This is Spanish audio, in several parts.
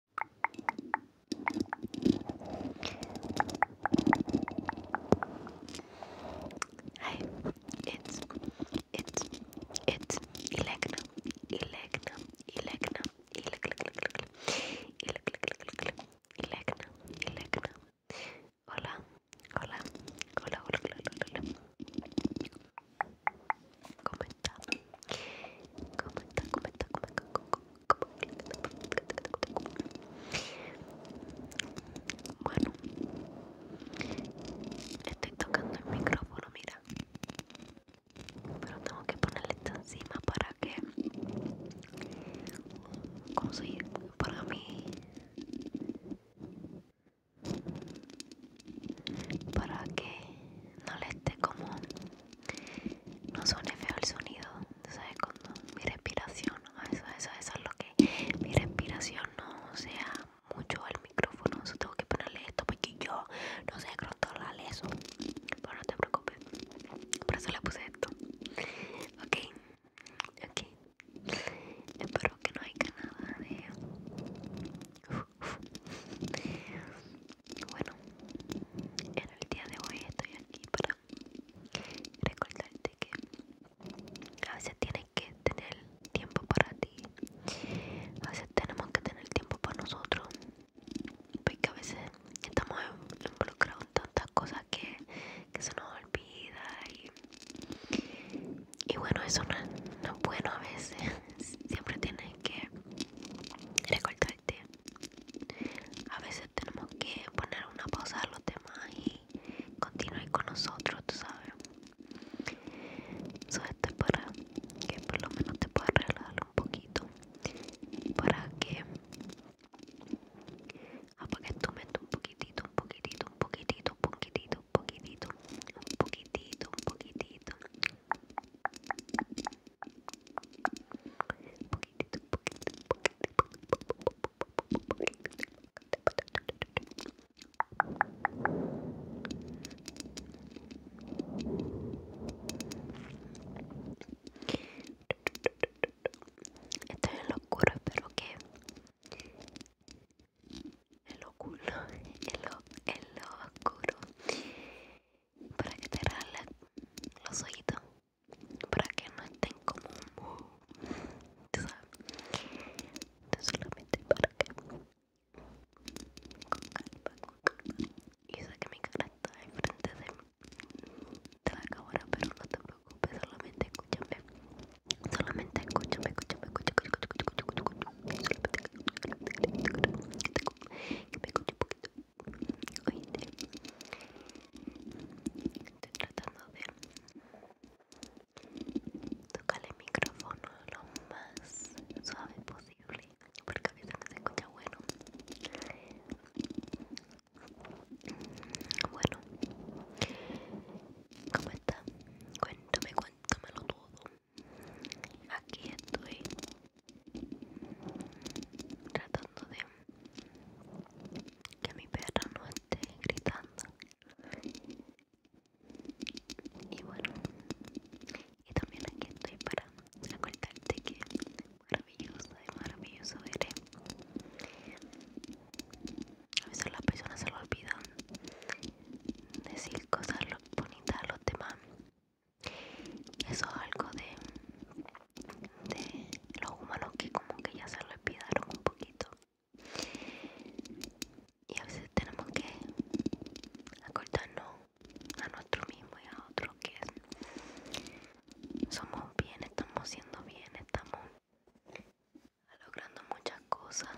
it's hola, hola, hola. hola comenta, comenta, comenta, comenta, comenta. Bueno, estoy tocando el micrófono, mira, pero tengo que ponerle esto encima para que, para mí, para que no le esté como no suene feo el sonido, ¿sabes? Cuando mi respiración, eso, eso, es lo que mi respiración no sea mucho el micrófono, eso tengo que ponerle esto porque yo no sé controlar eso, pero no te preocupes, por eso le puse esto, ok, ok, espero que no haya nada de... Bueno, en el día de hoy estoy aquí para recordarte que a veces tienes que tener tiempo para ti, a veces tenemos que tener tiempo para nosotros, porque a veces estamos involucrados en tantas cosas que, se nos olvida y, y bueno, eso no, es bueno a veces, siempre tienes que recortarte A veces tenemos que poner una pausa a los temas y continuar con nosotros, tú sabes. So, para que por lo menos te puedas relajar un poquito. Para que apagues tu mente un poquitito, un poquitito, un poquitito, un poquitito un poquitito, un poquitito, un poquitito. poquitito, un poquitito, un poquitito en lo el en lo, oscuro, para que te regalen los ojitos, para que no estén como un ¿tú sabes? solamente para que con calma, con calma. y sé que mi cara está enfrente de, de la cámara, pero no te preocupes, solamente escúchame. Solamente escucho estoy tratando de tocar el micrófono lo más suave posible, porque a veces no se escucha bueno. Bueno, ¿cómo está? cuéntamelo todo. Aquí estoy tratando de que mi perro no esté gritando. Y bueno, y también aquí estoy para recordarte que maravillosa y maravilloso eres a veces las personas se lo olvidan decir cosas bonitas a los demás eso es algo de, de los humanos que como que ya se lo olvidaron un poquito y a veces tenemos que acordarnos a nosotros mismos y a otros que somos bien, estamos siendo bien, estamos logrando muchas cosas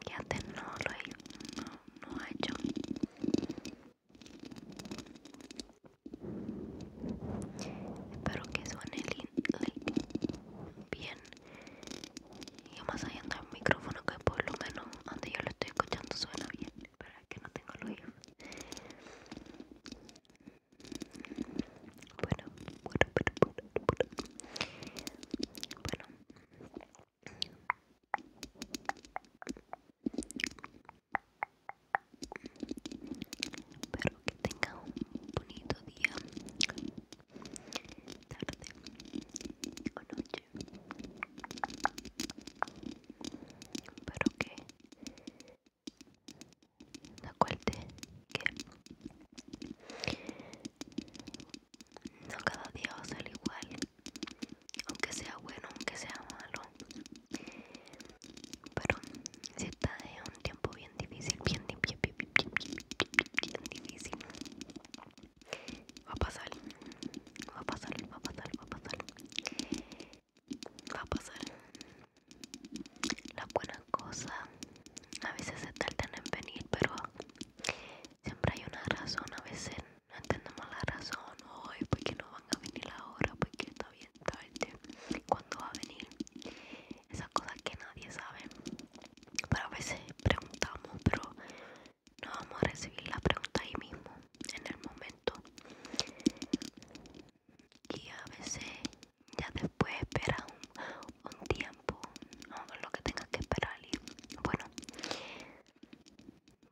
que antes no lo he ha hecho espero que suene bien y más allá el micrófono que por lo menos antes yo lo estoy escuchando suena bien pero que no tengo el oído bueno, bueno, bueno, bueno, bueno. Espero que tenga un bonito día, tarde o noche. Espero que Recuerde que no cada día va a ser igual aunque sea bueno aunque sea malo pero si está en un tiempo bien difícil bien, bien, bien, bien difícil va a pasar va a pasar va a pasar va a pasar va a pasar la buena cosa, a veces se tardan en venir, pero siempre hay una razón. A veces no entendemos la razón. Hoy, porque no van a venir ahora? Porque está bien tarde. cuando va a venir? Esas cosas que nadie sabe. Pero a veces preguntamos, pero no vamos a recibir la pregunta ahí mismo, en el momento y a veces ya después esperas un, tiempo o lo que tengas que esperar bueno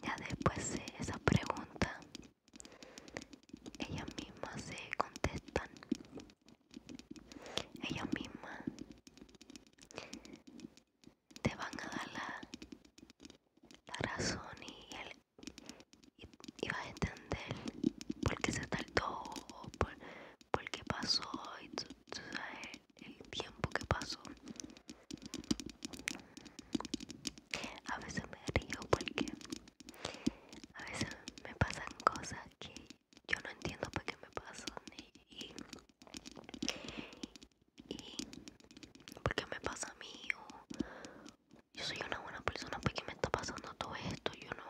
ya después esa esas preguntas ellas mismas se contestan ellas mismas te van a dar la razón y el y vas a entender por qué se tardó, por, por qué pasó, y tú, sabes el tiempo que pasó. A veces me río porque a veces me pasan cosas que yo no entiendo por qué me pasan y, por qué me pasa a mí o, yo soy una buena persona porque me está pasando todo esto, yo no,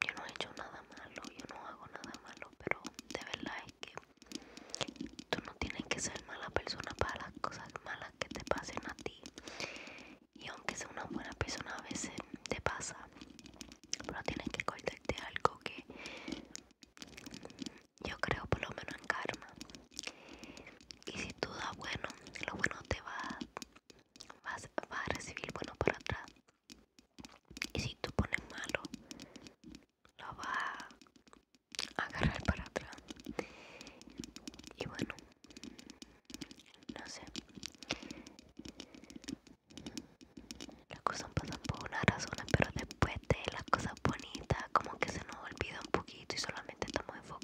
yo no he hecho nada malo, yo no hago nada malo, pero de verdad es que tú no tienes que ser mala persona para las cosas malas que te pasen a ti. Y aunque sea una buena persona a veces te pasa, pero tienes que cortarte algo que yo creo por lo menos en karma y si tú das bueno lo bueno te va a recibir bueno para atrás y si tú pones malo lo va a agarrar para atrás y bueno no sé las cosas pasan por una razón pero después de las cosas bonitas como que se nos olvida un poquito y solamente estamos ¿no?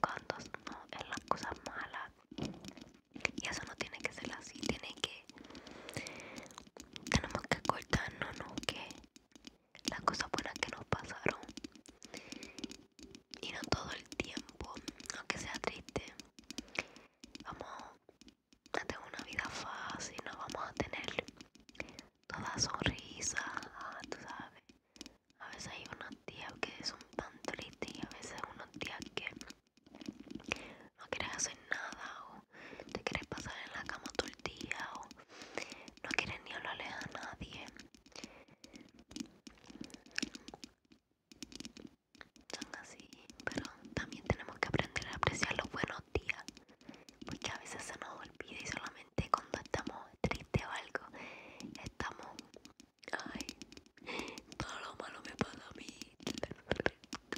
en las cosas malas y eso no tiene que ser así tiene que tenemos que acordarnos ¿no? que las cosas buenas que nos pasaron y no todo el tiempo aunque sea triste vamos a tener una vida fácil no vamos a tener toda sonrisa tú sabes a veces hay unos días que son tan tristes y a veces unos días que no quieres hacer nada o te quieres pasar en la cama todo el día o no quieres ni hablarle a nadie. Son así, pero también tenemos que aprender a apreciar los buenos días, porque a veces se nos olvida y solamente cuando estamos tristes o algo, estamos, ay, todo lo malo me pasa a mí,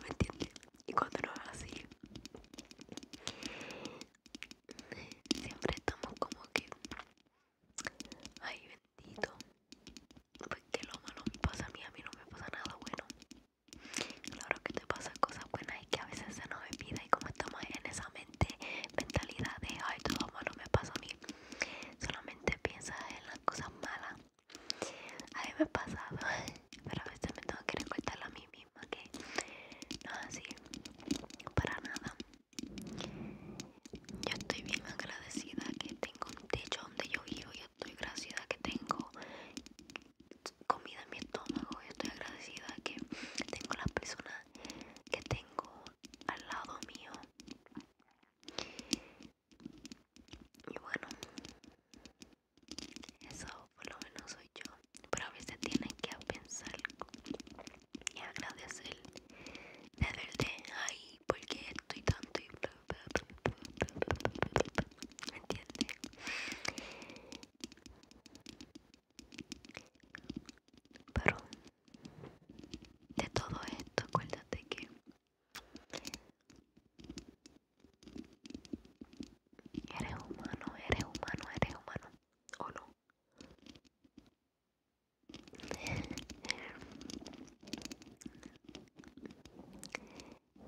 me entiendes? Y cuando no es así, siempre estamos como que, ay, bendito, porque lo malo me pasa a mí, a mí no me pasa nada bueno. Claro que te pasan cosas buenas que a veces se nos olvida y como estamos en esa mente, mentalidad de ay, todo malo me pasa a mí, solamente piensa en las cosas malas. A mí me ha pasado, pero a veces me tengo que recortar a mí misma que no es así, para nada. Yo estoy bien agradecida que tengo un techo donde yo vivo, yo estoy agradecida que tengo comida en mi estómago, yo estoy agradecida que tengo las personas que tengo al lado mío y bueno eso por lo menos soy yo pero a veces tienen que pensar y agradecer de verte ahí porque estoy tanto y ¿Me entiendes? Pero de todo esto, acuérdate que eres humano, eres humano, eres humano, ¿o no?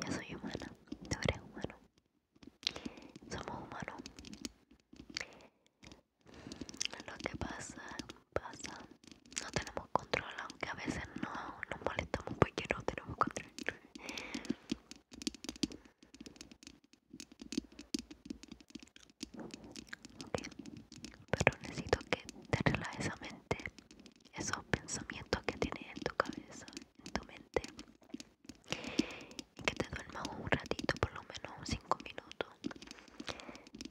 Yo soy humana, tú eres humano somos humanos. Lo que pasa, pasa. No tenemos control, aunque a veces no nos molestamos porque no tenemos control. pero necesito que te relajes esa mente, esos pensamientos que tienes en tu cabeza, en tu mente que te duermas un ratito, por lo menos 5 minutos.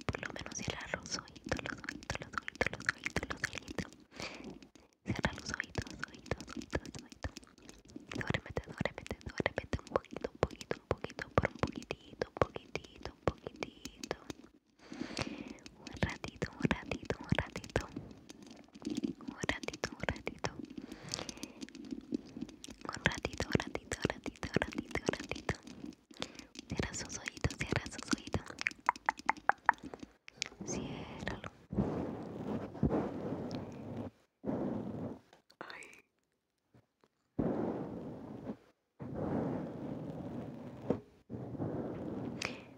Por lo menos cierra los ojitos, los oídos, los los Cierra los ojitos, un poquito, un poquito, un poquito, por un poquitito, poquitito. Un ratito, un ratito, un ratito un ratito, un ratito, un ratito, un ratito, ratito, ratito, ratito. Cierra sus oídos, cierra sus oídos Cierralo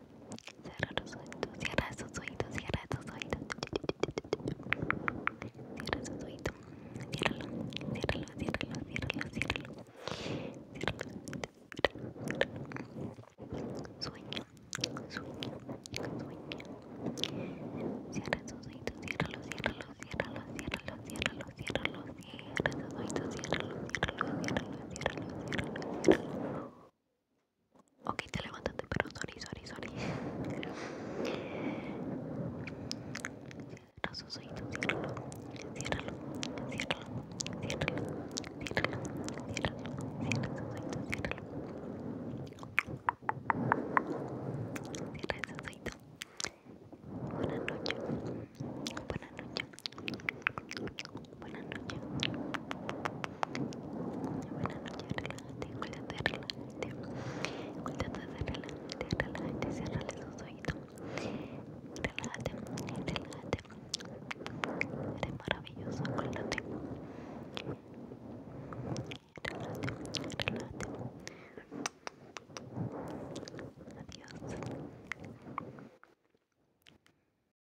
Cierra los oídos, cierra los oídos, cierra los oídos. Cierra Sueño, sueño, sueño. Cierra Cierra Ok, te levantaste, pero sorry, sorry, sorry. Cierra ciérralo, ciérralo, ciérralo, ciérralo, ciérralo, cierra ciérralo. Cierra Buenas Buenas noches. Buenas noches, relájate, cuídate, relájate. Cuídate, relájate, relájate, cierrale los oídos. Relájate, relájate. Eres maravilloso, acuérdate. Relájate, relájate. Adiós.